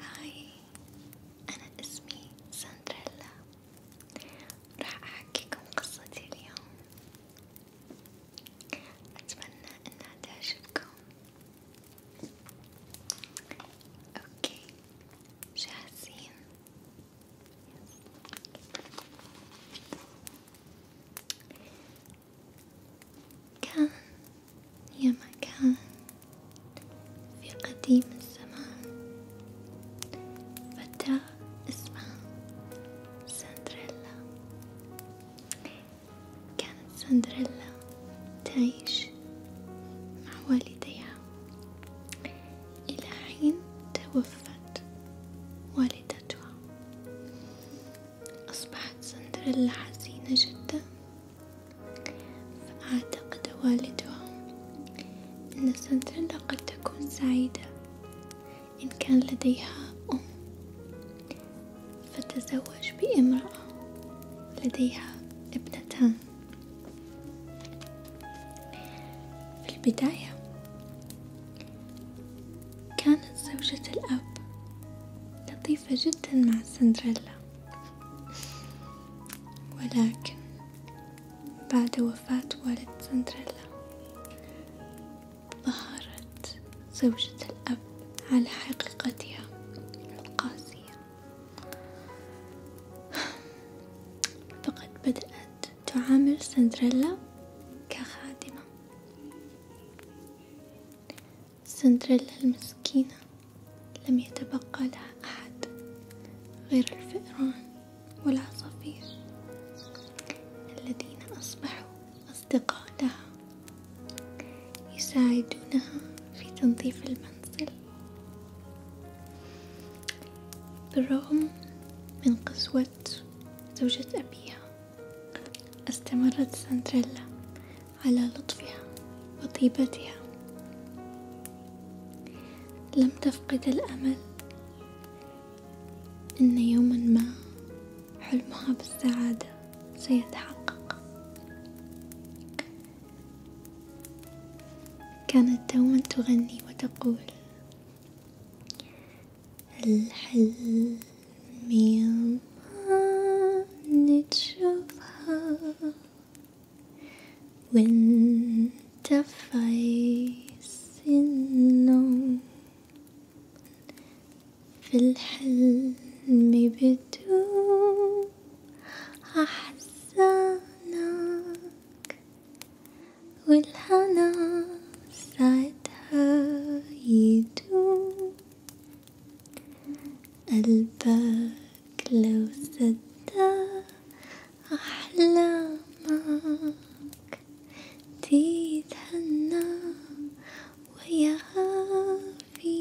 هاي أنا اسمي سندريلا راح أحكيكم قصتي اليوم أتمنى أنها تعجبكم أوكي جاهزين كان يا مكان في قديم الزمان فتاة اسمها سندريلا كانت سندريلا تعيش مع والديها إلى حين توفت والدتها أصبحت سندريلا حزينة جدا فأعتقد والدها أن سندريلا قد تكون سعيدة إن كان لديها أم فتزوج بامرأة لديها ابنتان في البداية كانت زوجة الأب لطيفة جدا مع سندريلا ولكن بعد وفاة والد سندريلا ظهرت زوجة الأب على حقيقتها القاسية فقد بدأت تعامل سندريلا كخادمة سندريلا المسكينة لم يتبقى لها أحد غير الفئران والعصافير الذين أصبحوا أصدقائها يساعدونها في تنظيف المنزل بالرغم من قسوة زوجة أبيها استمرت سندريلا على لطفها وطيبتها لم تفقد الأمل أن يوما ما حلمها بالسعادة سيتحقق كانت دوما تغني وتقول الحلم يضمن نتشوفها وانت في النوم في الحلم بدوب أحزانك والهنا ساعتها يدوب قلبك لو صدق أحلامك تتهنى ويعافي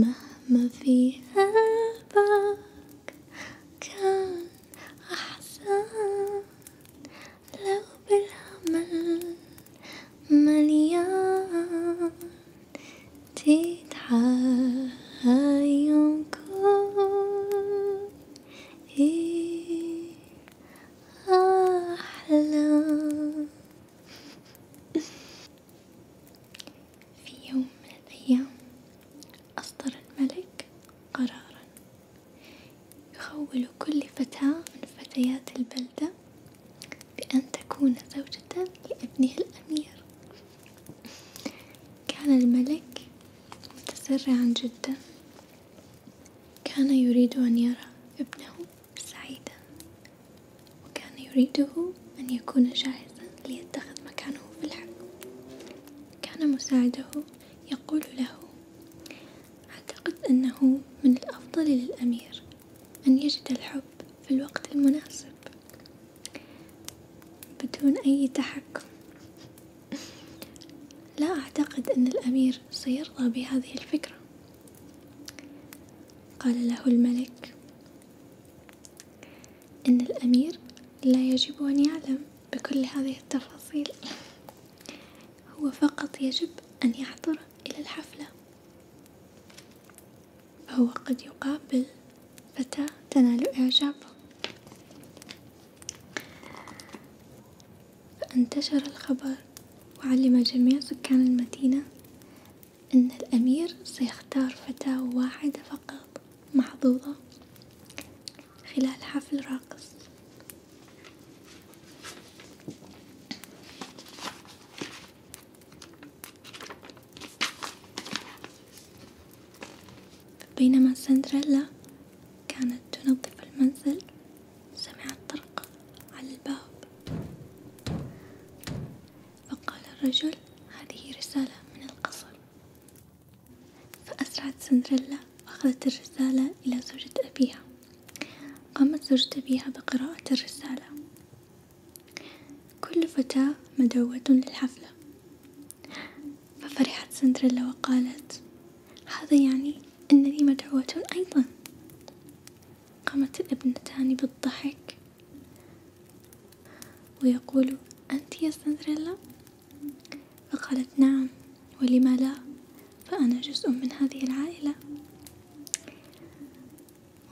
مهما في قلبك كان أحسن لو بالأمل مليان تتعايا يوم كل ايه احلى في يوم من الايام اصدر الملك قرارا يخول كل فتاة من فتيات البلدة بأن تكون زوجة لابنه الأمير كان الملك متسرعا جدا كان يريد أن يرى ابنه سعيدا وكان يريده أن يكون جاهزا ليتخذ مكانه في الحكم كان مساعده يقول له أعتقد أنه من الأفضل للأمير أن يجد الحب في الوقت المناسب بدون أي تحكم لا أعتقد أن الأمير سيرضى بهذه الفكرة قال له الملك إن الأمير لا يجب أن يعلم بكل هذه التفاصيل هو فقط يجب أن يحضر إلى الحفلة فهو قد يقابل فتاة تنال إعجابه فانتشر الخبر وعلم جميع سكان المدينة أن الأمير سيختار فتاة واحدة فقط محظوظة خلال حفل راقص بينما سندريلا كانت تنظف المنزل سمعت طرق على الباب فقال الرجل هذه رسالة من القصر فأسرعت سندريلا وأخذت الرسالة إلى زوجة أبيها قامت زوجة أبيها بقراءة الرسالة كل فتاة مدعوة للحفلة ففرحت سندريلا وقالت هذا يعني أنني مدعوة أيضا قامت الابنتان بالضحك ويقول أنت يا سندريلا فقالت نعم ولما لا فأنا جزء من هذه العائلة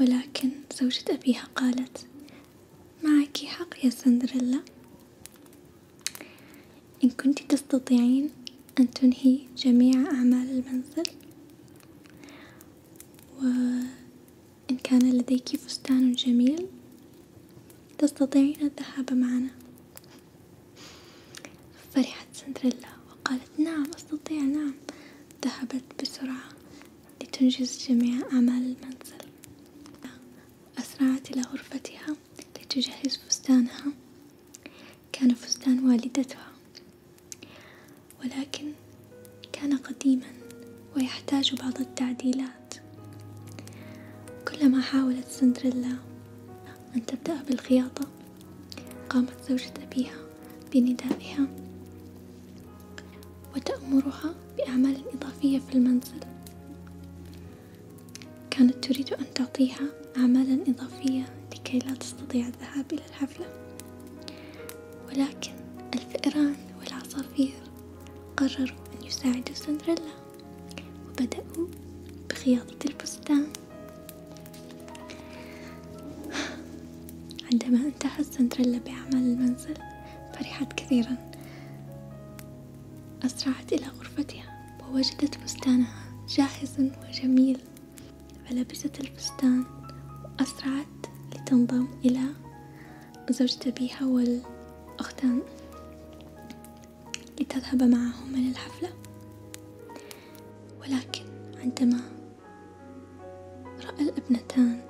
ولكن زوجة أبيها قالت معك حق يا سندريلا إن كنت تستطيعين أن تنهي جميع أعمال المنزل وإن كان لديك فستان جميل تستطيعين الذهاب معنا فرحت سندريلا وقالت نعم أستطيع نعم ذهبت بسرعة لتنجز جميع أعمال المنزل أسرعت إلى غرفتها لتجهز فستانها كان فستان والدتها ولكن كان قديما ويحتاج بعض التعديلات كلما حاولت سندريلا أن تبدأ بالخياطة قامت زوجة أبيها بندائها وتأمرها بأعمال إضافية في المنزل كانت تريد أن تعطيها أعمالا إضافية لكي لا تستطيع الذهاب إلى الحفلة ولكن الفئران والعصافير قرروا أن يساعدوا سندريلا وبدأوا بخياطة البستان عندما انتهت سندريلا بأعمال المنزل فرحت كثيرا أسرعت إلى غرفتها ووجدت فستانها جاهزا وجميل فلبست الفستان وأسرعت لتنضم إلى زوجة أبيها والأختان لتذهب معهما للحفلة ولكن عندما رأى الأبنتان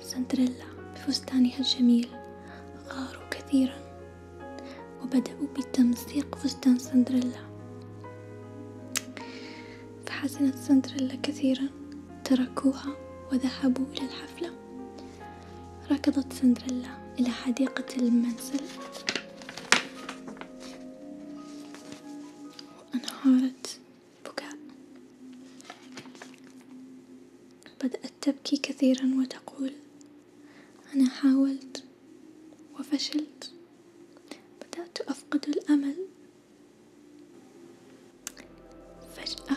سندريلا بفستانها الجميل غاروا كثيرا وبدأوا بتمزيق فستان سندريلا فحزنت سندريلا كثيرا تركوها وذهبوا إلى الحفلة ركضت سندريلا إلى حديقة المنزل وأنهارت بكاء بدأت تبكي كثيرا وتقول أنا حاولت وفشلت بدأت أفقد الأمل فجأة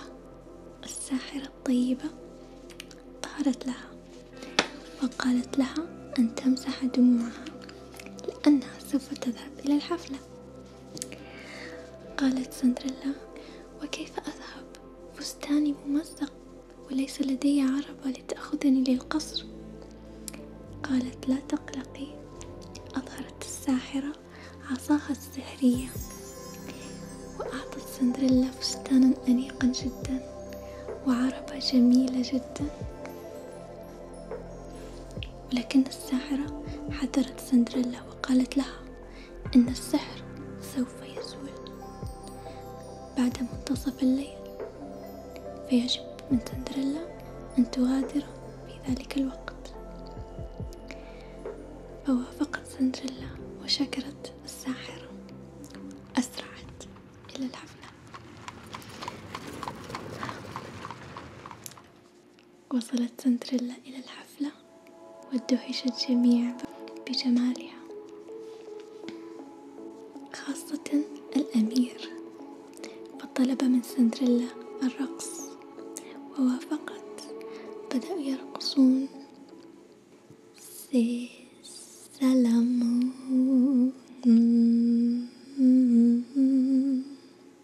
الساحرة الطيبة ظهرت لها وقالت لها أن تمسح دموعها لأنها سوف تذهب إلى الحفلة قالت سندريلا وكيف أذهب فستاني ممزق وليس لدي عربة لتأخذني للقصر قالت لا تقلقي أظهرت الساحرة عصاها السحرية وأعطت سندريلا فستانا أنيقا جدا وعربة جميلة جدا ولكن الساحرة حذرت سندريلا وقالت لها إن السحر سوف يزول بعد منتصف الليل فيجب من سندريلا أن تغادر في ذلك الوقت فوافقت سندريلا وشكرت الساحرة أسرعت إلى الحفلة وصلت سندريلا إلى الحفلة وادهش الجميع بجمالها خاصة الأمير فطلب من سندريلا الرقص ووافقت بدأوا يرقصون سلام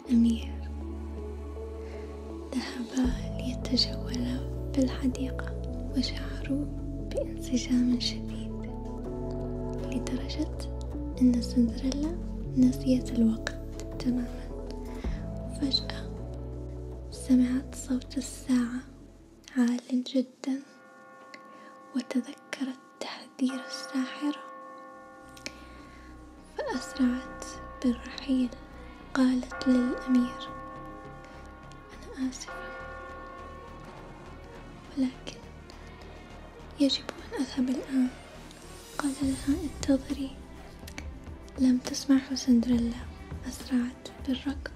الأمير ذهبا ليتجولا في الحديقة وشعروا بانسجام شديد لدرجة أن سندريلا نسيت الوقت تماما وفجأة سمعت صوت الساعة عال جدا وتذكرت تحذير الساحرة فأسرعت بالرحيل قالت للأمير أنا آسفة ولكن يجب أن أذهب الآن قال لها انتظري لم تسمعه سندريلا أسرعت بالركض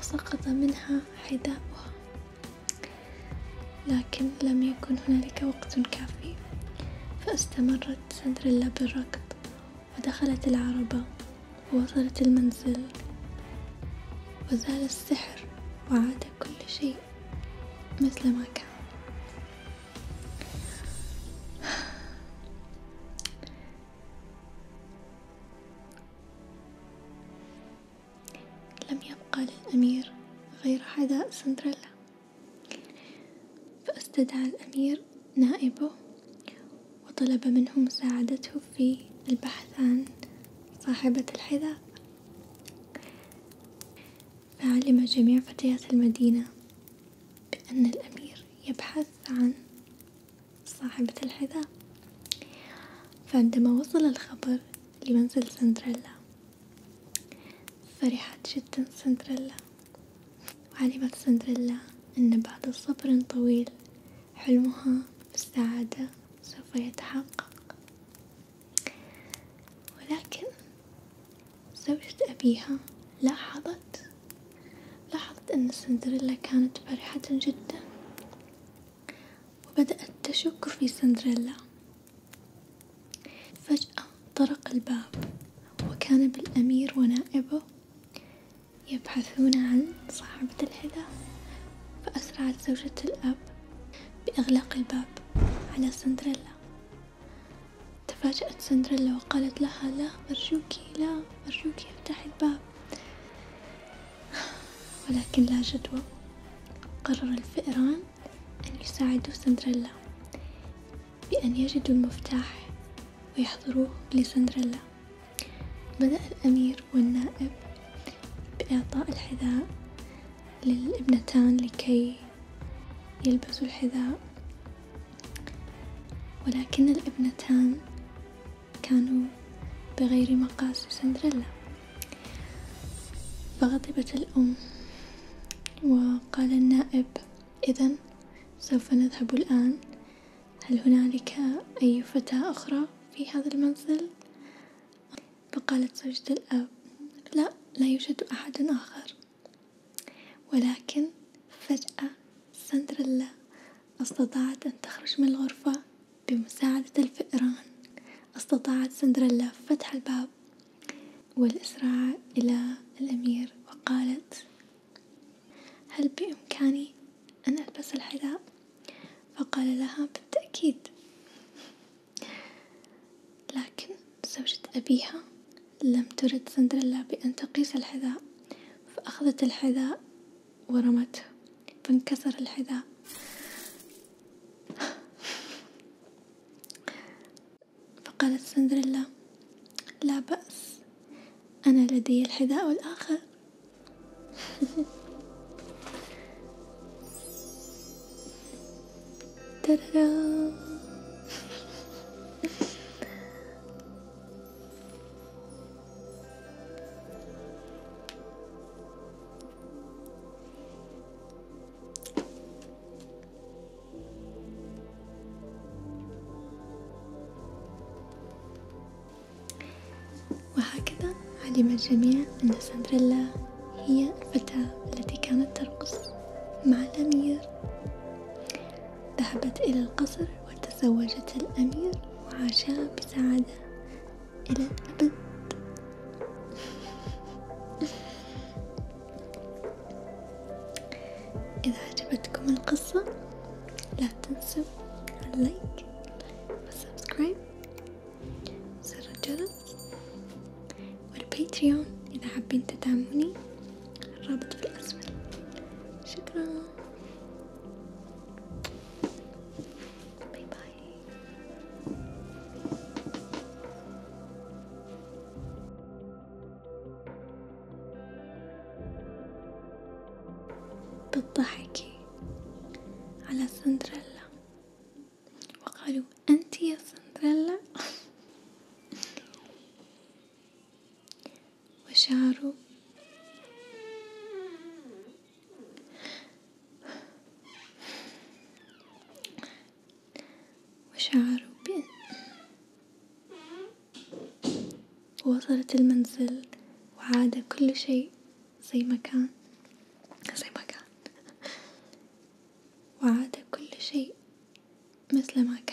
وسقط منها حذاؤها لكن لم يكن هنالك وقت كافي فاستمرت سندريلا بالركض ودخلت العربة ووصلت المنزل وزال السحر وعاد كل شيء مثل ما كان لم يبقى للأمير غير حذاء سندريلا فاستدعى الأمير نائبه وطلب منه مساعدته في البحث عن صاحبة الحذاء فعلم جميع فتيات المدينة بأن الأمير يبحث عن صاحبة الحذاء فعندما وصل الخبر لمنزل سندريلا فرحت جدا سندريلا وعلمت سندريلا أن بعد صبر طويل حلمها بالسعادة سوف يتحقق ولكن زوجة أبيها لاحظت لاحظت أن سندريلا كانت فرحة جدا وبدأت تشك في سندريلا فجأة طرق الباب وكان بالأمير ونائبه يبحثون عن صاحبة الحذاء فأسرعت زوجة الأب بإغلاق الباب على سندريلا تفاجأت سندريلا وقالت لها لا أرجوك لا أرجوك افتحي الباب ولكن لا جدوى قرر الفئران أن يساعدوا سندريلا بأن يجدوا المفتاح ويحضروه لسندريلا بدأ الأمير والنائب بإعطاء الحذاء للابنتان لكي يلبسوا الحذاء ولكن الابنتان كانوا بغير مقاس سندريلا فغضبت الأم وقال النائب إذا سوف نذهب الآن هل هنالك أي فتاة أخرى في هذا المنزل؟ فقالت زوجة الأب لا لا يوجد أحد آخر ولكن فجأة سندريلا استطاعت أن تخرج من الغرفة بمساعدة الفئران استطاعت سندريلا فتح الباب والإسراع إلى الأمير وقالت هل بإمكاني أن ألبس الحذاء؟ فقال لها بالتأكيد لكن زوجة أبيها لم ترد سندريلا بأن تقيس الحذاء فأخذت الحذاء ورمته فانكسر الحذاء فقالت سندريلا لا بأس أنا لدي الحذاء الآخر وهكذا علم الجميع أن سندريلا هي الفتاة التي كانت ترقص مع الأمير ذهبت إلى القصر وتزوجت الأمير وعاشا بسعادة إلى الأبد إذا عجبتكم القصة لا تنسوا اللايك والسبسكرايب وزر الجرس والباتريون إذا حابين تدعموني الرابط في الأسفل شكرا باي باي بالضحك على سندريلا وقالوا أنت يا سندريلا وشعروا وشعر بأن وصلت المنزل وعاد كل شيء زي ما كان زي ما كان وعاد كل شيء مثل ما كان